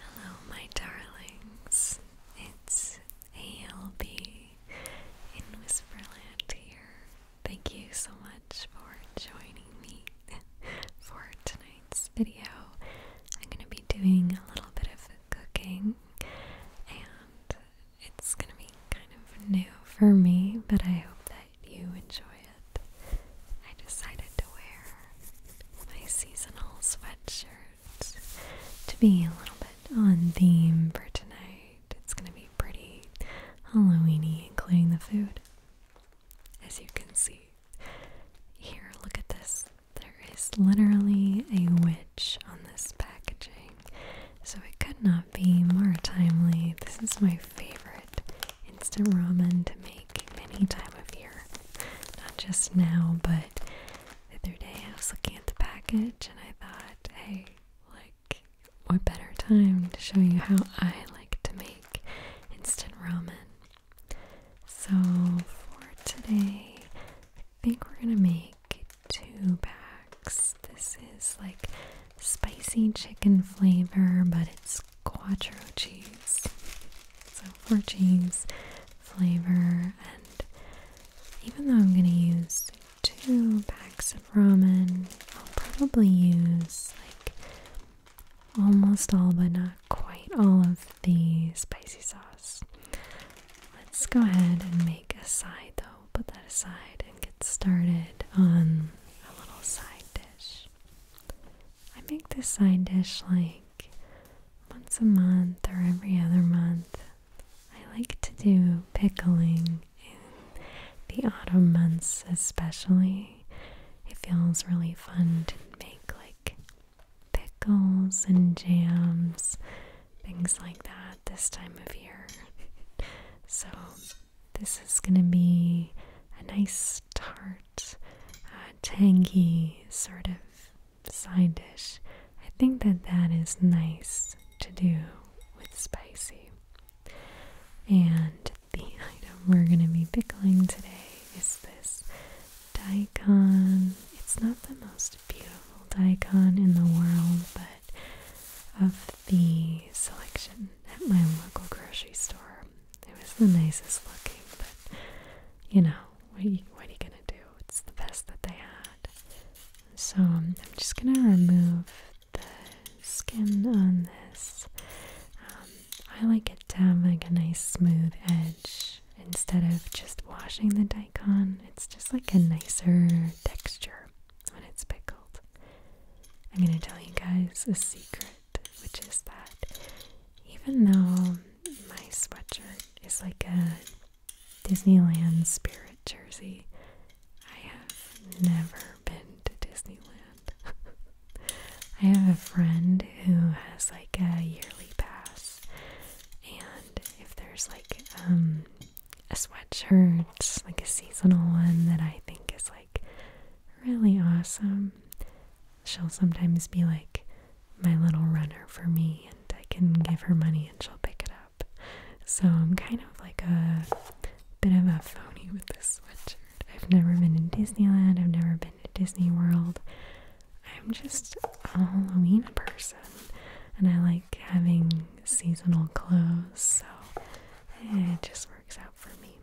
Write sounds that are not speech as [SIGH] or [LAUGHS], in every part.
Hello, my darlings. It's ALB in Whisperland here. Thank you so much for joining me [LAUGHS] for tonight's video. I'm going to be doing a little bit of cooking, and it's going to be kind of new for me, but I hope that you enjoy it. I decided to wear my seasonal sweatshirt to be a little bit on theme for tonight. It's going to be pretty Halloweeny, including the food. As you can see, here, look at this. There is literally a witch on this packaging, so it could not be more timely. This is my favorite instant ramen to make any time of year. Not just now, but the other day I was looking at the package and I thought, hey, like, what better time to show you how I like to make instant ramen? So for today, I think we're gonna make two packs. This is like spicy chicken flavor, but it's quattro cheese. So, for cheese, flavor. And even though I'm going to use two packs of ramen, I'll probably use like almost all, but not quite all of the spicy sauce. Let's go ahead and make a side though. Put that aside and get started on a little side dish. I make this side dish like once a month or every other month. I like to do pickling in the autumn months, especially. It feels really fun to make like pickles and jams, things like that this time of year. [LAUGHS] so, this is going to be a nice tart, uh, tangy sort of side dish. I think that that is nice to do with spicy. And the item we're going to be pickling today is this daikon. It's not the most beautiful daikon in the world, but of the selection at my local grocery store, it was the nicest looking, but you know, what are you, gonna do? It's the best that they had. So um, I'm just gonna remove the skin on this. Um, I like it to have like a nice smooth edge instead of just washing the daikon. It's just like a nicer texture when it's pickled. I'm gonna tell you guys a secret, which is that even though my sweatshirt it's like a Disneyland spirit jersey. I have never been to Disneyland. [LAUGHS] I have a friend who has like a yearly pass, and if there's like um, a sweatshirt, like a seasonal one that I think is like really awesome, she'll sometimes be like my little runner for me, and I can give her money and she'll pick it up. So I'm kind of like a bit of a phony with this sweatshirt. I've never been in Disneyland, I've never been to Disney World. I'm just a Halloween person, and I like having seasonal clothes, so it just works out for me.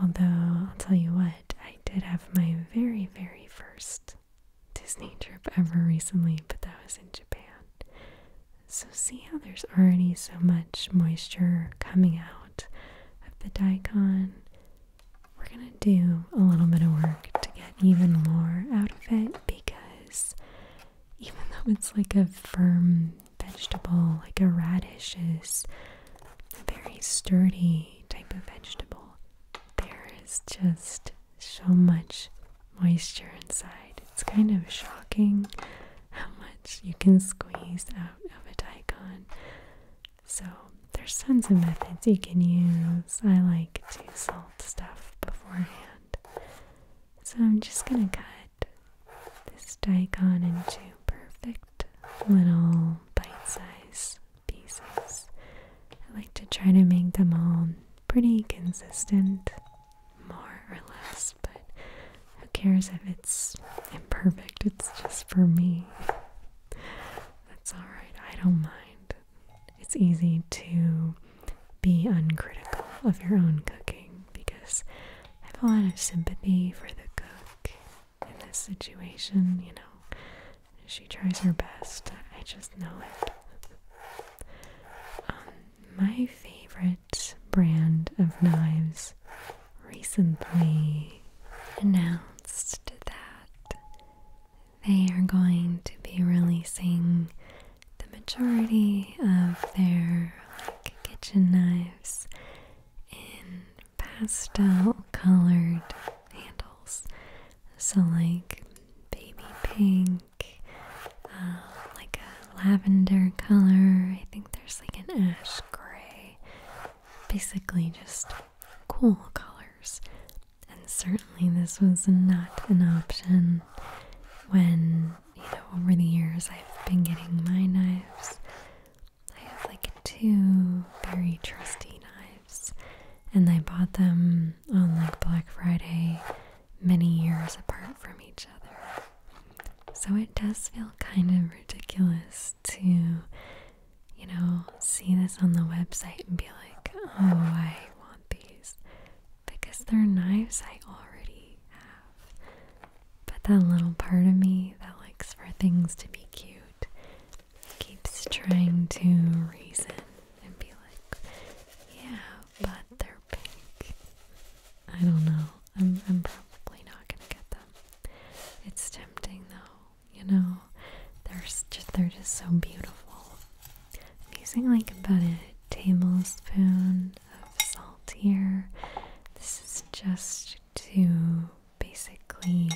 Although, I'll tell you what, I did have my very, very first Disney trip ever recently, but that was in Japan. So, see how there's already so much moisture coming out of the daikon? We're gonna do a little bit of work to get even more out of it because even though it's like a firm vegetable, like a radish is a very sturdy type of vegetable, there is just so much moisture inside. It's kind of shocking how much you can squeeze out of a daikon. So, there's tons of methods you can use. I like to salt stuff beforehand. So, I'm just going to cut this daikon into perfect little bite size pieces. I like to try to make them all pretty consistent, more or less, but who cares if it's imperfect? It's just for me. That's alright, I don't mind. It's easy to be uncritical of your own cooking because I have a lot of sympathy for the cook in this situation, you know. She tries her best. I just know it. Um, my favorite brand of knives recently announced that they are going to be releasing the majority of their kitchen knives in pastel colored handles. So, like baby pink, um, like a lavender color. I think there's like an ash gray. Basically, just cool colors. And certainly, this was not an option when, you know, over the years I've been getting my knives. I have like two very trusty knives. And I bought them on like Black Friday many years apart from each other. So it does feel kind of ridiculous to, you know, see this on the website and be like, oh, I want these. Because they're knives I already have. But that little part of me that likes for things to be cute keeps trying to reason and be like, yeah, but they're pink. I don't know. I'm, probably not gonna get them. It's tempting though, you know. They're just they're just so beautiful. I'm using like about a tablespoon of salt here. This is just to basically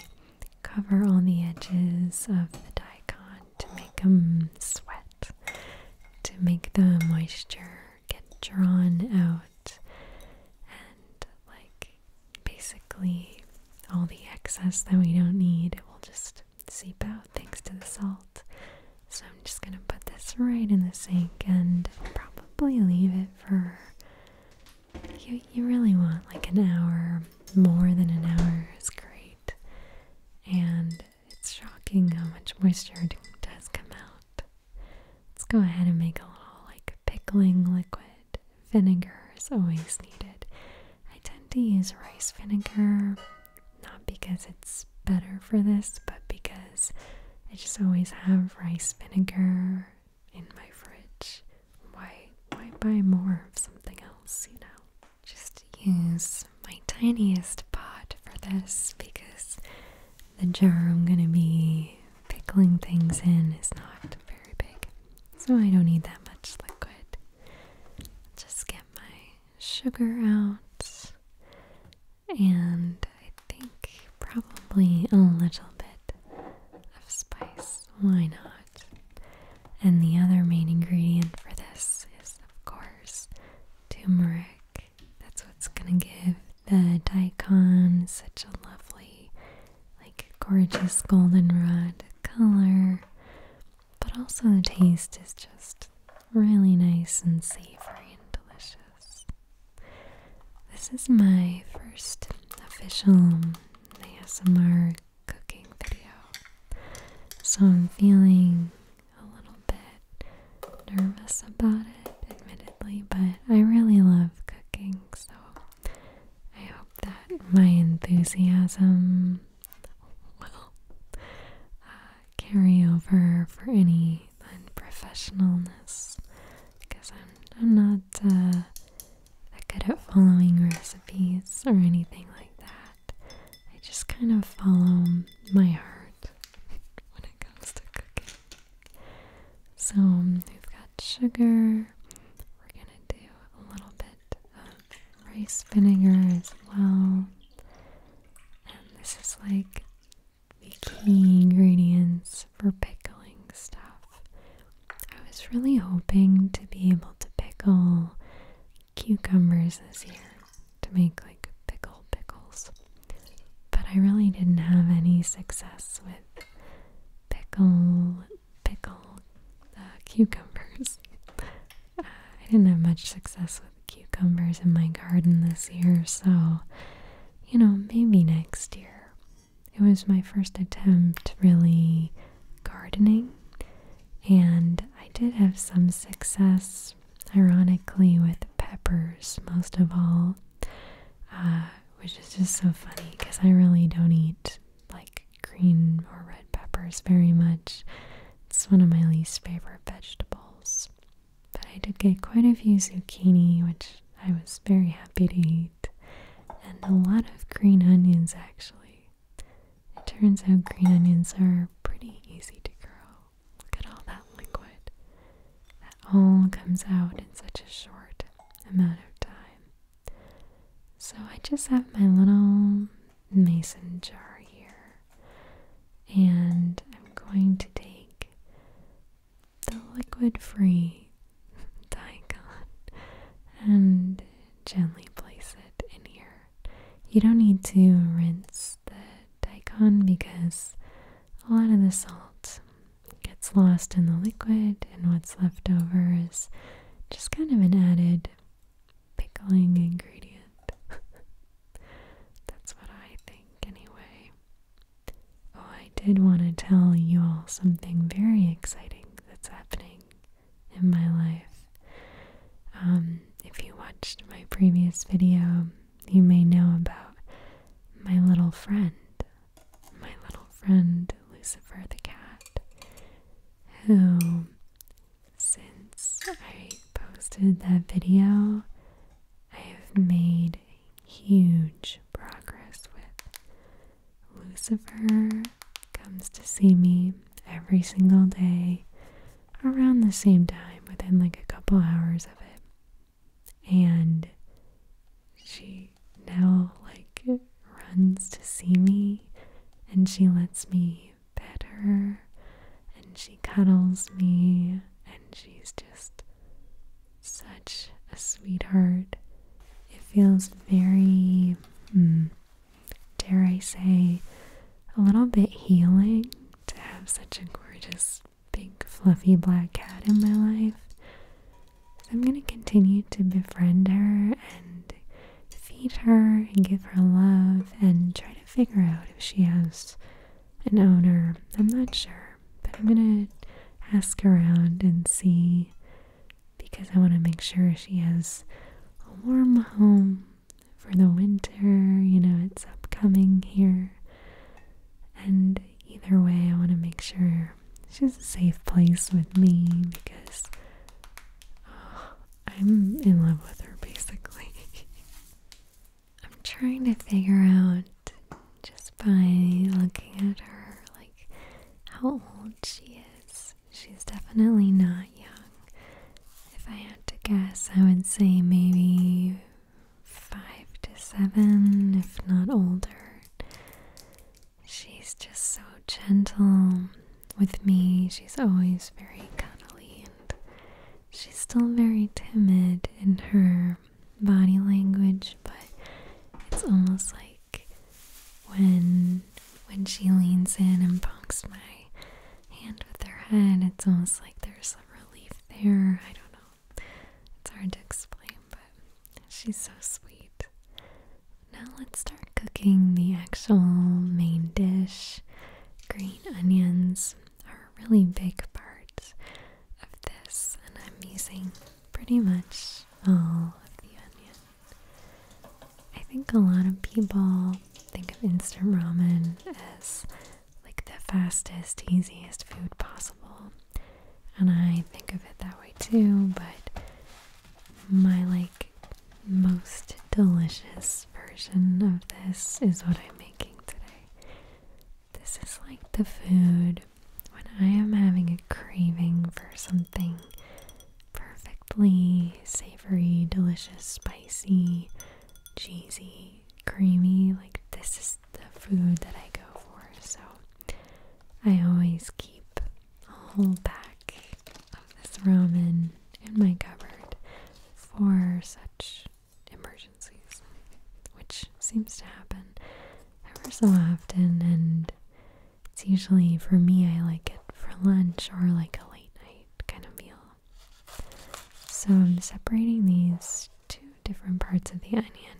cover all the edges of the daikon to make them sweat, to make the moisture get drawn out, and like basically all the excess that we don't need will just seep out thanks to the salt. So I'm just gonna put this right in the sink and probably leave it for. You, you really want like an hour more than an hour is great. And it's shocking how much moisture does come out. Let's go ahead and make a little like pickling liquid. Vinegar is always needed. I tend to use rice vinegar, not because it's better for this, but because I just always have rice vinegar in my fridge. Why why buy more of something else, you know? just use my tiniest pot for this because the jar I'm gonna be pickling things in is not very big. So I don't need that much liquid. Just get my sugar out and I think probably a little bit of spice. Why not? And the other main ingredient for this is, of course, turmeric. That's what's gonna give the daikon such a lovely, like gorgeous goldenrod color. But also the taste is just really nice and savory and delicious. This is my first official ASMR cooking video. So I'm feeling a little bit nervous about it, admittedly, but I really love cooking, so I hope that my enthusiasm will uh, carry over for any unprofessionalness because I'm, I'm not uh, that good at following recipes or anything like that. I just kind of follow my heart [LAUGHS] when it comes to cooking. So um, we've got sugar. We're gonna do a little bit of rice vinegar as well. And this is like the key ingredients for pickling stuff. I was really hoping to be able to pickle cucumbers this year to make like pickle pickles. But I really didn't have any success with pickle pickle uh, cucumbers. Uh, I didn't have much success with cucumbers in my garden this year, so you know, maybe next year. It was my first attempt really gardening and I did have some success, ironically, with peppers, most of all, uh, which is just so funny because I really don't eat like green or red peppers very much. It's one of my least favorite vegetables. But I did get quite a few zucchini, which I was very happy to eat, and a lot of green onions actually. It turns out green onions are pretty easy to grow. Look at all that liquid. That all comes out in such a short amount of time. So I just have my little mason jar here. And I'm going to take the liquid free [LAUGHS] daikon and gently place it in here. You don't need to rinse the daikon because a lot of the salt gets lost in the liquid and what's left over is just kind of an added pickling ingredient. [LAUGHS] That's what I think anyway. Oh, I did want to tell you all something very exciting that's happening in my life. Um, if you watched my previous video, you may know about my little friend, my little friend Lucifer the cat, who, since I posted that video, I have made huge progress with. Lucifer comes to see me every single day around the same time, within like a couple hours of it. And she now like runs to see me and she lets me pet her and she cuddles me and she's just such a sweetheart. It feels very hmm, dare I say, a little bit healing to have such a gorgeous, big, fluffy black cat in my life. So I'm going to continue to befriend her and feed her and give her love and try to figure out if she has an owner. I'm not sure, but I'm going to ask around and see because I want to make sure she has a warm home for the winter, you know, it's upcoming here. And either way, I want to make sure she's a safe place with me because oh, I'm in love with her basically. [LAUGHS] I'm trying to figure out just by looking at her, like, how old she is she's definitely not young. If I had to guess, I would say maybe five to seven, if not older. She's just so gentle with me. She's always very cuddly and she's still very timid in her body language, but it's almost like when when she leans in and bonks my hand with their head. It's almost like there's some relief there. I don't know. It's hard to explain, but she's so sweet. Now let's start cooking the actual main dish. Green onions are a really big part of this, and I'm using pretty much all of the onion. I think a lot of people think of instant ramen as like the fastest, easiest food possible. And I think of it that way too, but my like most delicious version of this is what I'm making today. This is like the food when I am having a craving for something perfectly savory, delicious, spicy cheesy, creamy. Like, this is the food that I go for. So, I always keep a whole pack of this ramen in my cupboard for such emergencies, which seems to happen ever so often. And it's usually for me, I like it for lunch or like a late night kind of meal so I'm separating these two different parts of the onion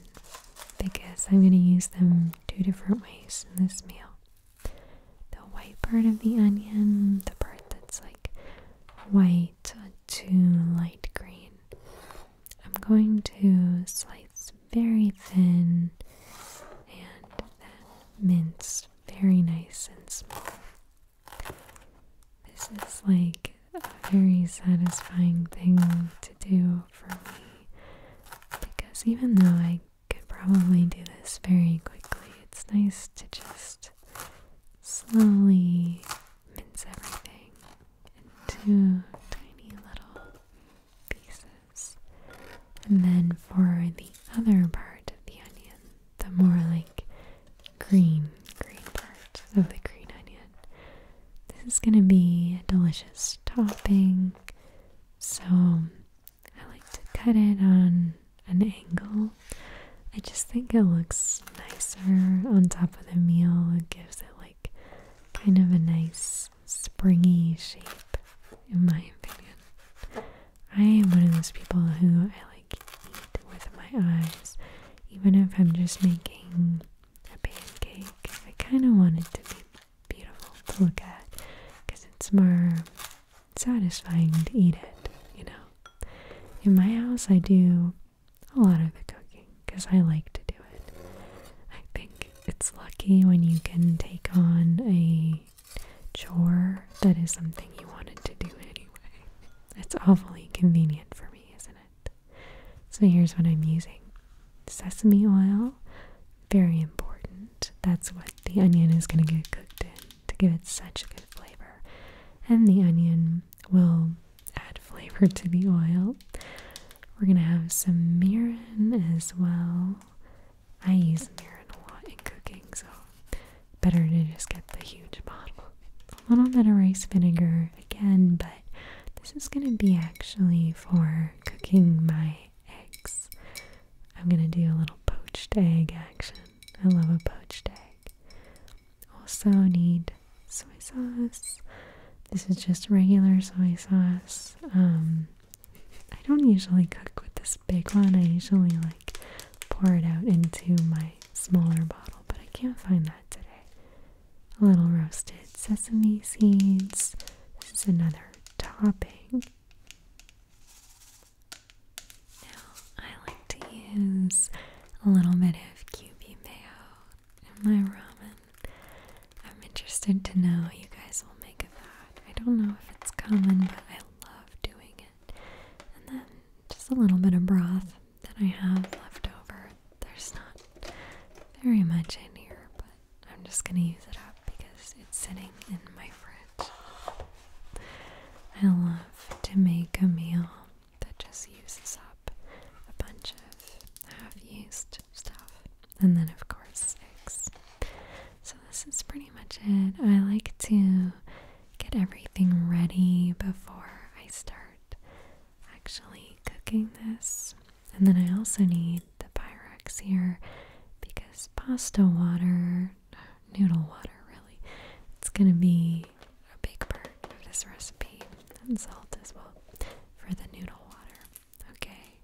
because I'm going to use them two different ways in this meal. The white part of the onion, the part that's like white to light green. I'm going to slice very thin and then mince very nice and small. This is like a very satisfying thing to do for me because even though I could probably do this very quickly, it's nice to just slowly mince everything into tiny little pieces. And then for the other part of the onion, the more like green, green part of the green onion. This is going to be a delicious topping. So I like to cut it on an angle. I just think it looks nicer on top of the meal. It gives it like kind of a nice springy shape, in my opinion. I am one of those people who I like. I can eat with my eyes, even if I'm just making a pancake. I kind of want it to be beautiful to look at because it's more satisfying to eat it, you know. In my house, I do a lot of the cooking because I like to do it. I think it's lucky when you can take on a chore that is something you wanted to do anyway. It's awfully convenient for me, isn't it? So here's what I'm using sesame oil, very important. That's what the onion is going to get cooked in to give it such a good flavor. And the onion will add flavor to the oil. We're going to have some mirin as well. I use mirin a lot in cooking, so better to just get the huge bottle. A little bit of rice vinegar again, but this is going to be actually for cooking my eggs. I'm going to do a little poached egg action. I love a poached egg. Also need soy sauce. This is just regular soy sauce. Um, I don't usually cook with this big one. I usually like pour it out into my smaller bottle, but I can't find that today. A little roasted sesame seeds. This is another topping. Now, I like to use a little bit of QB mayo in my ramen. I'm interested to know what you guys will make of that. I don't know if it's common, but I love doing it. And then just a little bit of broth that I have left over. There's not very much in here, but I'm just going to use it up because it's sitting in my fridge. I love to make a meal that just uses up a bunch of half used stuff. And then, of course, eggs. So, this is pretty much it. I like to get everything ready before I start actually cooking this. And then I also need the Pyrex here because pasta water, noodle water really, it's going to be a big part of this recipe and salt as well for the noodle water. Okay,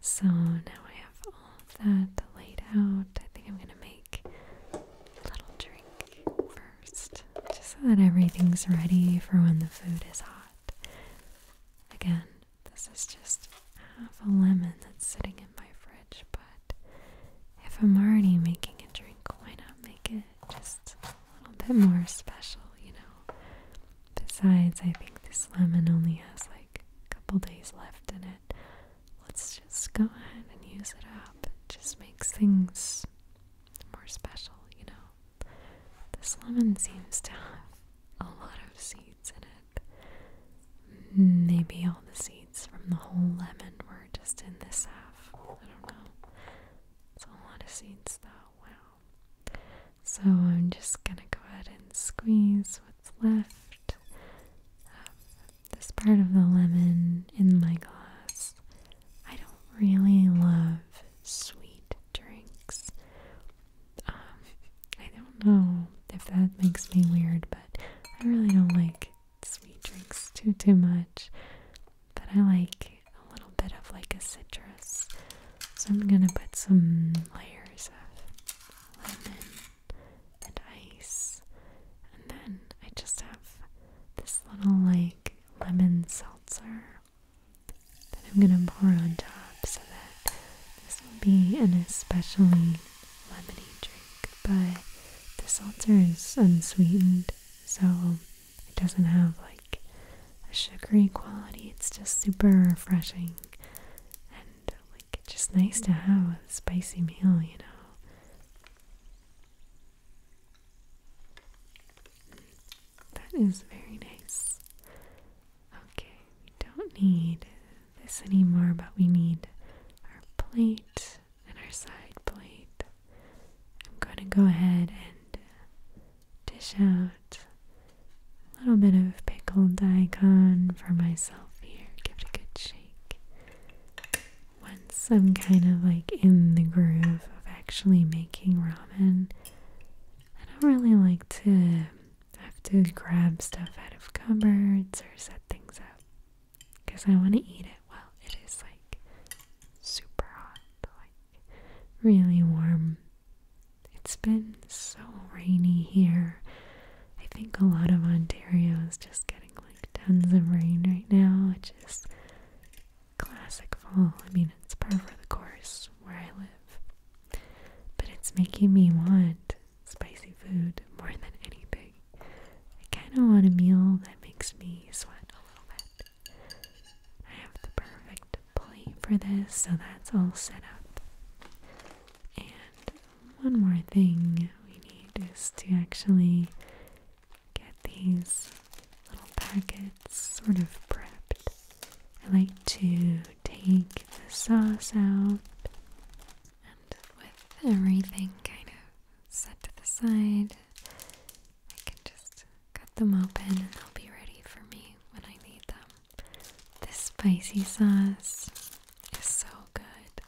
so now I have all that laid out. I think I'm going to make little drink first, just so that everything's ready for when the food is hot. Again, this is just half a lemon that's sitting in my fridge, but if I'm already making a drink, why not make it just a little bit more special, you know? Besides, I think this lemon only has like a couple days left in it, let's just go ahead and use it up. It just makes things more special, you know. This lemon seems to have a lot of seeds in it. Maybe all the seeds from the whole lemon were just in this half. I don't know. It's a lot of seeds though. Wow. So I'm just gonna go ahead and squeeze what's left this part of the lemon in my glass. I don't really love sweet drinks. Um, I don't know if that makes me weird, but I really don't like sweet drinks too too much. But I like a little bit of like a citrus. So I'm gonna put some layers of lemon and ice. And then I just have this little like lemon seltzer that I'm gonna pour on top so that this will be an especially lemony drink. But the seltzer is unsweetened, so it doesn't have like a sugary quality. It's just super refreshing and like just nice to have with a spicy meal, you know. That is very nice. Okay, we don't need this anymore, but we need our plate and our side plate. I'm going to go ahead and dish out a little bit of pickled daikon for myself here. Give it a good shake once I'm kind of like in the groove of actually making ramen, I don't really like to have to grab stuff out of cupboards or set things up because I want to eat it while it is like super hot, like really warm. It's been so rainy here. I think a lot of Ontario is just getting like tons of rain right now, which is Classic fall. I mean, it's part of the course where I live. But it's making me want spicy food more than anything. I kind of want a meal that makes me sweat a little bit. I have the perfect plate for this, so that's all set up. And one more thing we need is to actually get these little packets sort of prepped. I like to take the sauce out and with everything kind of set to the side, I can just cut them open and they'll be ready for me when I need them. This spicy sauce is so good.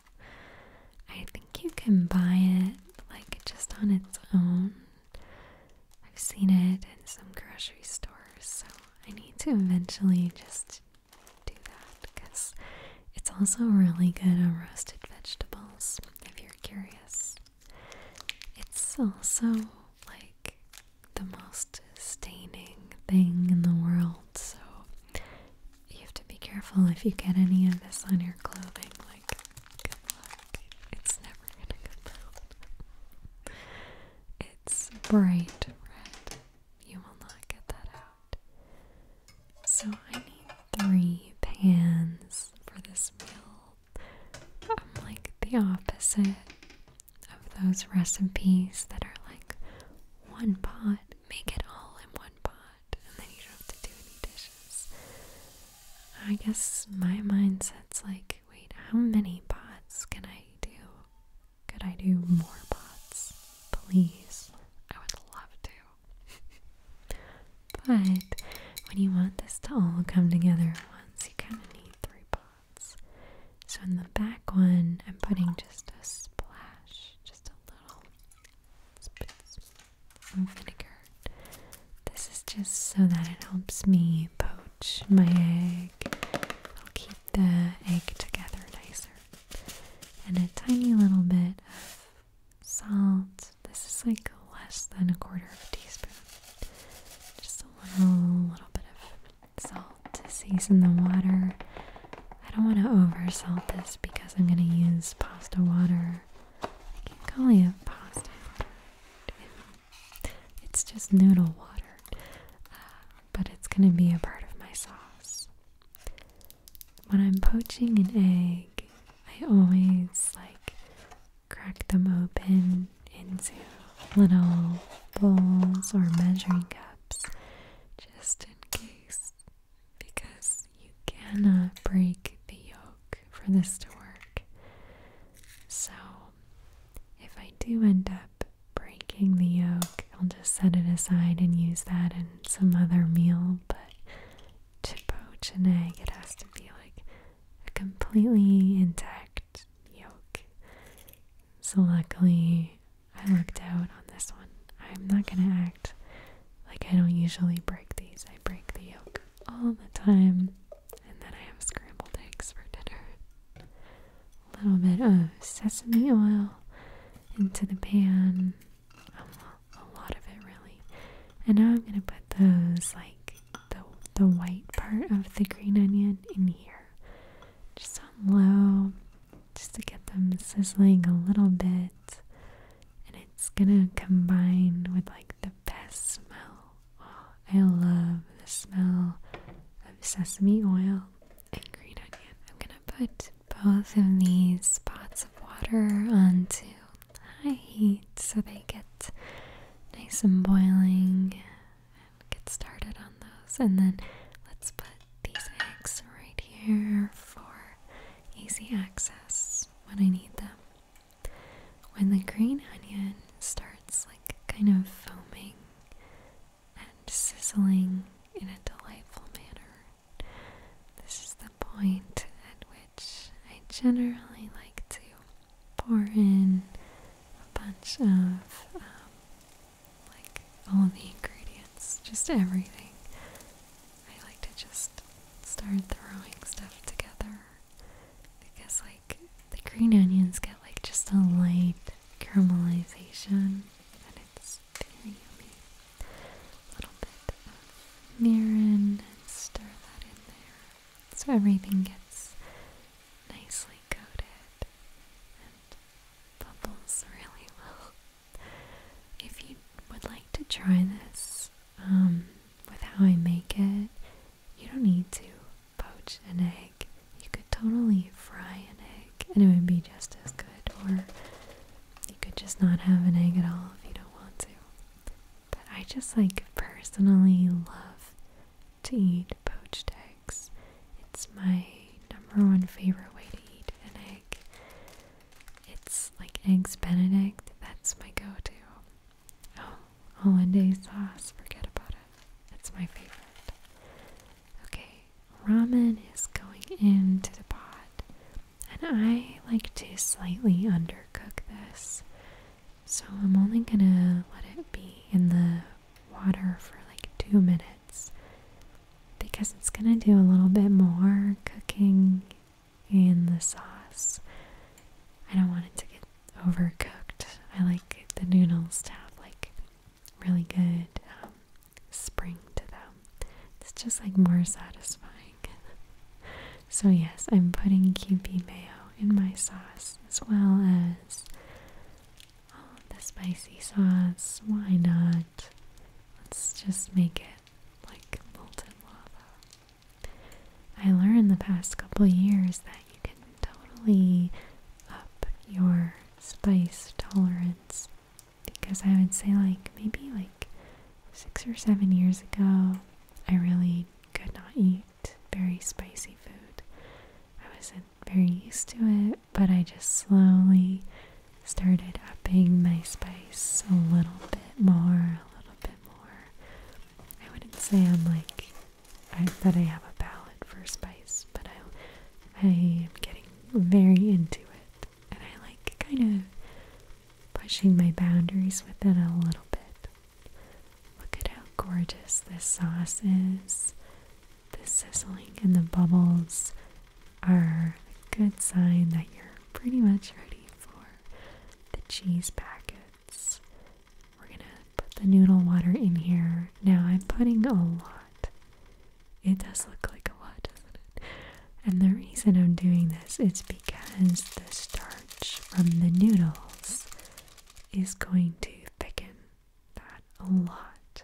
I think think you can buy it like just on its own. I've seen it in some grocery stores, so I need to eventually just do that because it's also really good on roasted vegetables if you're curious. It's also like the most staining thing in the world, so you have to be careful if you get any of this on your clothing. Like, Good luck. It's never gonna come it's bright red. You will not get that out. So I need three pans for this meal. I'm like the opposite of those recipes that are like one pot, make it all in one pot and then you don't have to do any dishes. I guess my mindset's like, wait, how many pots can I do? Could I do more pots? Please. I would love to. [LAUGHS] but when you want this to all come together at once, you kind of need three pots. So in the back one, I'm putting just a splash, just a little vinegar. This is just so that it helps me poach my egg. I'll keep the egg together nicer. And a tiny little bit of salt. This is like less than a quarter of a teaspoon. Just a little, little bit of salt to season the water. I don't want to over salt this because I'm going to use pasta water I pasta It's just noodle water, uh, but it's going to be a part of my sauce. When I'm poaching an egg, I always like crack them open into little bowls or measuring cups just in case because you cannot break the yolk for this to work. So if I do end up breaking the yolk, I'll just set it aside and use that in some other meal. But to poach an egg, it has to be like a completely intact yolk. So luckily, I looked out on this one. I'm not gonna act like I don't usually break these, I break the yolk all the time. And then I have scrambled eggs for dinner. A little bit of sesame oil into the pan. A lot of it, really. And now I'm going to put those, like, the, the white part of the green onion in here. Just on low, just to get them sizzling a little bit. And it's going to combine with, like, the the best smell. I love the smell of sesame oil and green onion. I'm gonna put both of these pots of water onto high heat so they get nice and boiling and get started on those. And then let's put these eggs right here for easy access when I need them. When the green onion starts like kind of foaming and sizzling in a delightful manner, this is the point at which I generally like to pour in a bunch of um, like all the ingredients, just everything. I like to just start throwing stuff together because like the green onions get like just a light caramelization and it's very yummy. A little bit of mirin and stir that in there so everything gets nicely coated and bubbles really well. If you would like to try this, um, with how I make it, you don't need to poach an egg. You could totally fry an egg and it would be just as good, or you could just not have an egg at all if you don't want to. But I just like personally love to eat poached eggs. It's my number one favorite way to eat an egg. It's like Eggs Benedict, that's my go to. [GASPS] Oh, hollandaise sauce, forget about it. It's my favorite. Okay, ramen is going into the pot. And I like to slightly undercook this. So I'm only gonna let it be in the water for like two minutes because it's gonna do a little bit more cooking in the sauce. I don't want it to get overcooked. I like the noodles to have like really good um, spring to them. It's just like more satisfying. [LAUGHS] so yes, I'm putting QP mayo in my sauce as well as all the spicy sauce. Why not? Let's just make it like molten lava. I learned the past couple years that you can totally up your spice tolerance because I would say like maybe like 6 or 7 years ago I really could not eat very spicy food. I wasn't very used to it, but I just slowly started upping my spice a little bit more, a bit more. I wouldn't say I'm like I, bet I have a palate for spice, but I I am getting very into it, and I like kind of pushing my boundaries with it a little bit. Look at how gorgeous this sauce is. The sizzling and the bubbles are a good sign that you're pretty much ready for the cheese packet. We're gonna put the noodle water in here. Now I'm putting a lot. It does look like a lot, doesn't it? And the reason I'm doing this is because the starch from the noodles is going to thicken that a lot.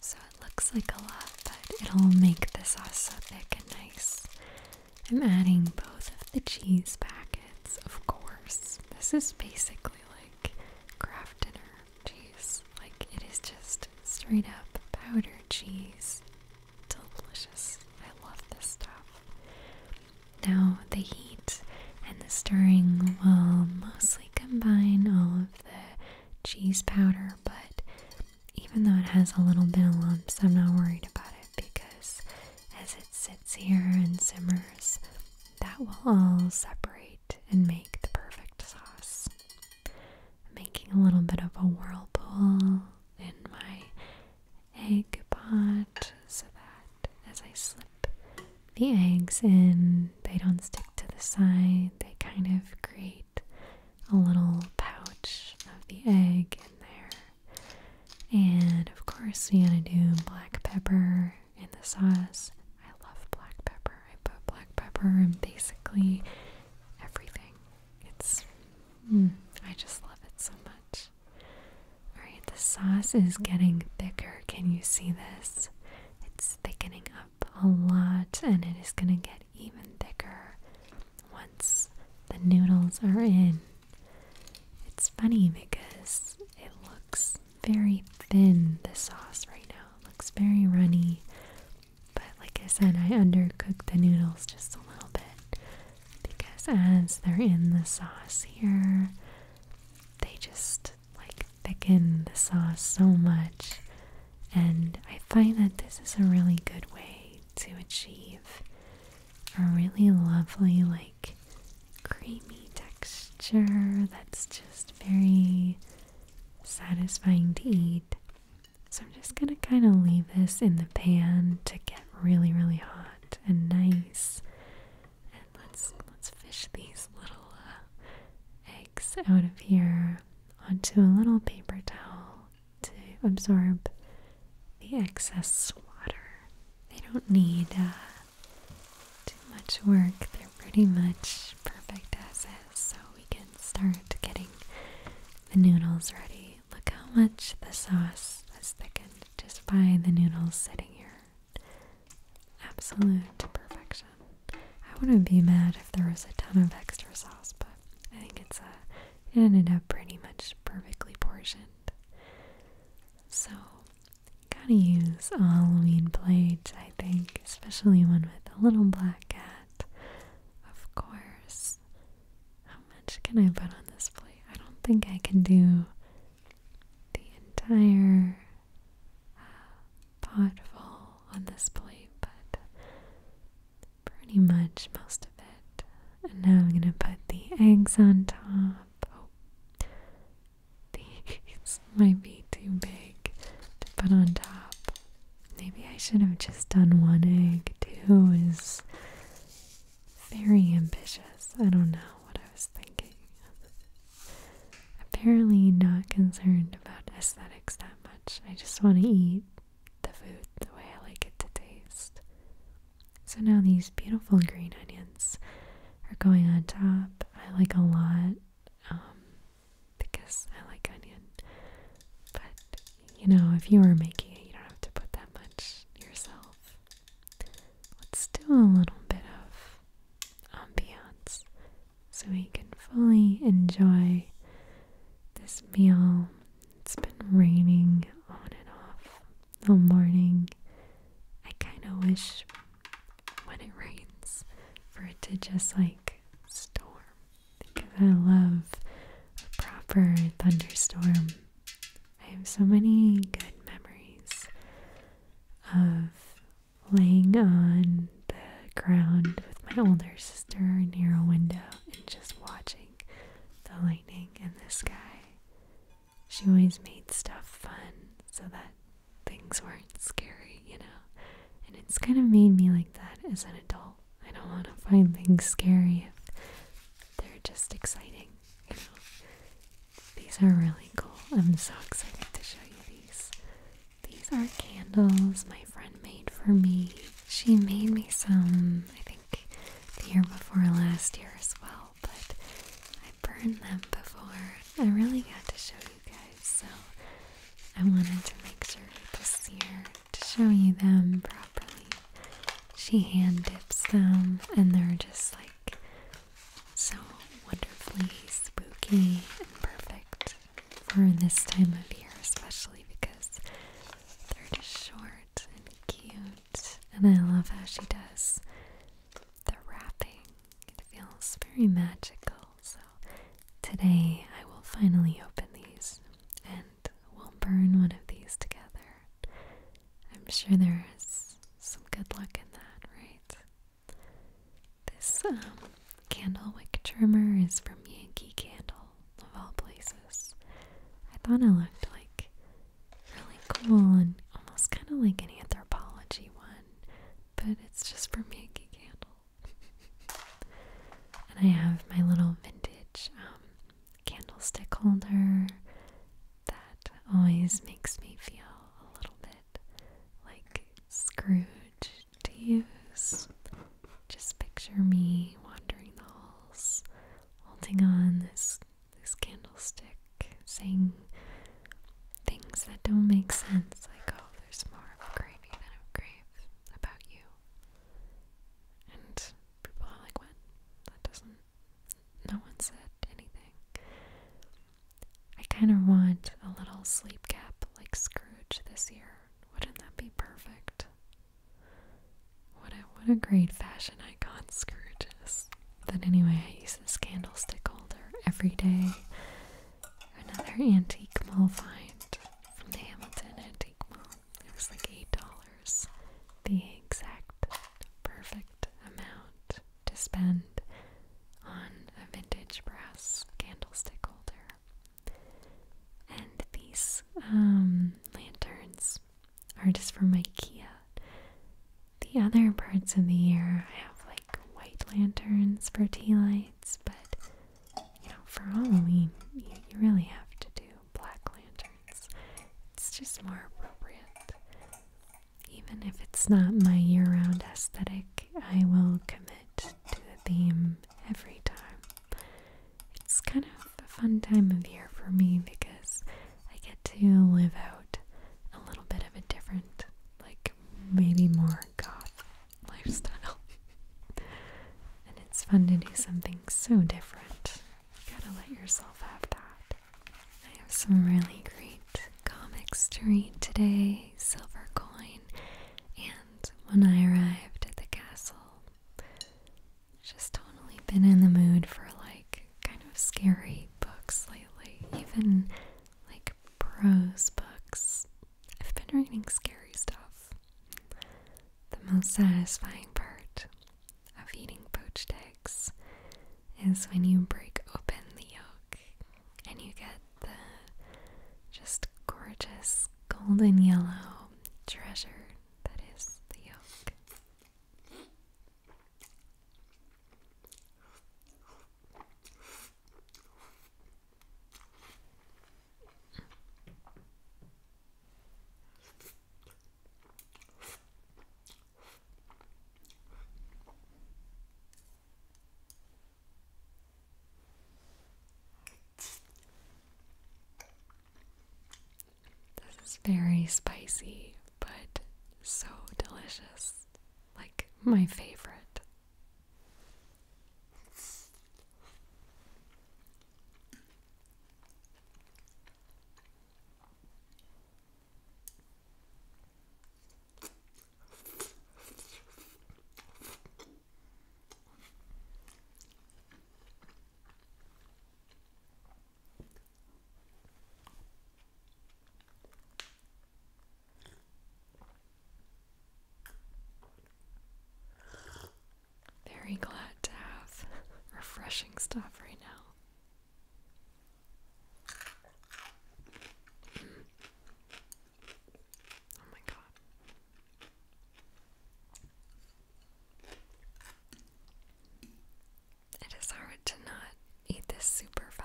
So it looks like a lot, but it'll make the sauce so thick and nice. I'm adding both of the cheese packets, of course. This is basically like craft dinner cheese. Like it is just straight up powdered cheese. Delicious. I love this stuff. Now, the heat and the stirring will mostly combine all of the cheese powder, but even though it has a little bit of lumps, I'm not worried about it because as it sits here and simmers, that will all separate and make the perfect sauce. making a little bit of a whirlpool in my egg pot so that as I slip the eggs in, they don't stick to the side, they kind of create a little pouch of the egg in there. And of course, we gotta do black pepper in the sauce. I love black pepper. I put black pepper in basically everything. It's. Mm, I just love it so much. Alright, the sauce is getting thicker. Can you see this? It's thickening up a lot and it is gonna get even thicker once the noodles are in. It's funny because it looks very thin, the sauce right now. It looks very runny. But like I said, I undercooked the noodles just a little bit because as they're in the sauce here, they just like thicken the sauce so much. And I find that this is a really good way to achieve a really lovely, like creamy texture that's just very satisfying to eat. So I'm just gonna kind of leave this in the pan to get really, really hot and nice. And let's let's fish these little uh, eggs out of here onto a little paper towel to absorb the excess water. They don't need uh, too much work. They're pretty much perfect as is, so we can start getting the noodles ready. Look how much the sauce has thickened just by the noodles sitting here. Absolute perfection. I wouldn't be mad if there was a ton of extra sauce, but I think it's a, uh, ended up pretty much perfectly portioned. So, gotta use Halloween plates, I think, especially one with a little black cat. Of course. How much can I put on this plate? I don't think I can do the entire uh, pot full on this plate, but pretty much most of it. And now I'm gonna put the eggs on top up. Oh, these might be too big to put on top. Maybe I should have just done one egg. Two is very ambitious. I don't know what I was thinking. Apparently, not concerned about aesthetics that much. I just want to eat the food the way I like it to taste. So now these beautiful green onions are going on top. I like a lot um, because I like onion. But you know, if you are making it, you don't have to put that much yourself. Let's do a little bit of ambiance so we can fully enjoy this meal. It's been raining on and off the morning. I kind of wish when it rains for it to just like storm because I love a proper thunderstorm. I have so many good memories of laying on the ground with my older sister near a window and just watching the lightning in the sky. She always made stuff fun so that things weren't scary, you know? And it's kind of made me like that as an adult. I don't want to find things scary if they're just exciting, you know? These are really cool. I'm so excited to show you these. These are candles my friend made for me. She made me some, I think, the year before last year as well but I burned them before. I really got to show you guys, so I wanted to make sure this year to show you them properly. She hand dips them, and they're just like so wonderfully spooky and perfect for this time of year, especially because they're just short and cute. And I love how she does the wrapping. It feels very magical. So today I will finally open these and we'll burn one of these together. I'm sure there is some good luck in that, right? This um, candle wick trimmer is from Yankee Candle, of all places. I thought it looked like really cool and almost kind of like an anthropology one, but it's just for making candles. [LAUGHS] and I have my little vintage um, candlestick holder that always makes me feel a little bit like Scrooge to use. Just picture me wandering the halls, holding on this this candlestick saying things that don't make sense, like, oh, there's more of a gravy than of grave about you. And people are like, what? That doesn't. No one said anything. I kind of want a little sleep cap like Scrooge this year. Wouldn't that be perfect? What a what a great fashion icon Scrooge is. But anyway, I used this candlestick holder every day. Another antique mall find from the Hamilton Antique Mall. It was like $8. The exact perfect amount to spend on a vintage brass candlestick holder. And these um, lanterns are just from IKEA. The other parts of the year, I have like white lanterns for tea lights, but you know, for Halloween, you, really have to do black lanterns. It's just more appropriate. Even if it's not my year round aesthetic, I will commit to the theme every time. It's kind of a fun time of year for me because I get to live out a little bit of a different, like maybe more goth lifestyle. and it's fun to do something so different. You gotta let yourself have that. I have some really great comics to read today Silver Coin, and when I arrived at the castle, just totally been in the mood for like kind of scary books lately, even like prose books. I've been reading scary stuff. The most satisfying part of eating poached eggs is when you break open the yolk and you get the just gorgeous golden yellow treasure that is the yolk. This is very spicy, but so delicious like my favorite. Very glad to have [LAUGHS] refreshing stuff right now. Oh my god. It is hard to not eat this super fast.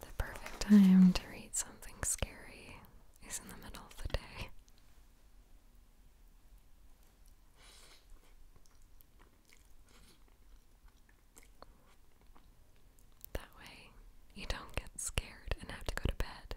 The perfect time to read something scary is in the middle of the day. That way, you don't get scared and have to go to bed.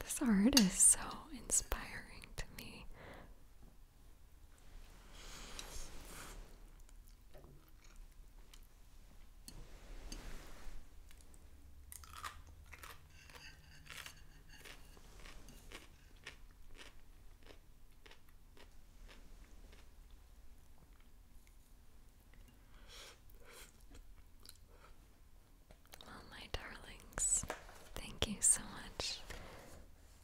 This art is so inspiring to me. Well, my darlings, thank you so much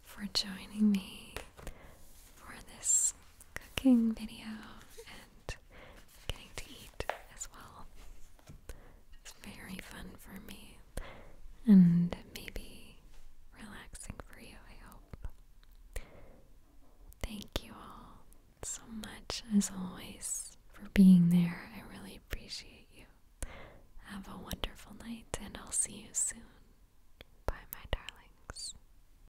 for joining me for this cooking video and getting to eat as well. It's very fun for me and maybe relaxing for you, I hope. Thank you all so much, as always, for being there. I really appreciate you. Have a wonderful night, and I'll see you soon. Bye, my darlings.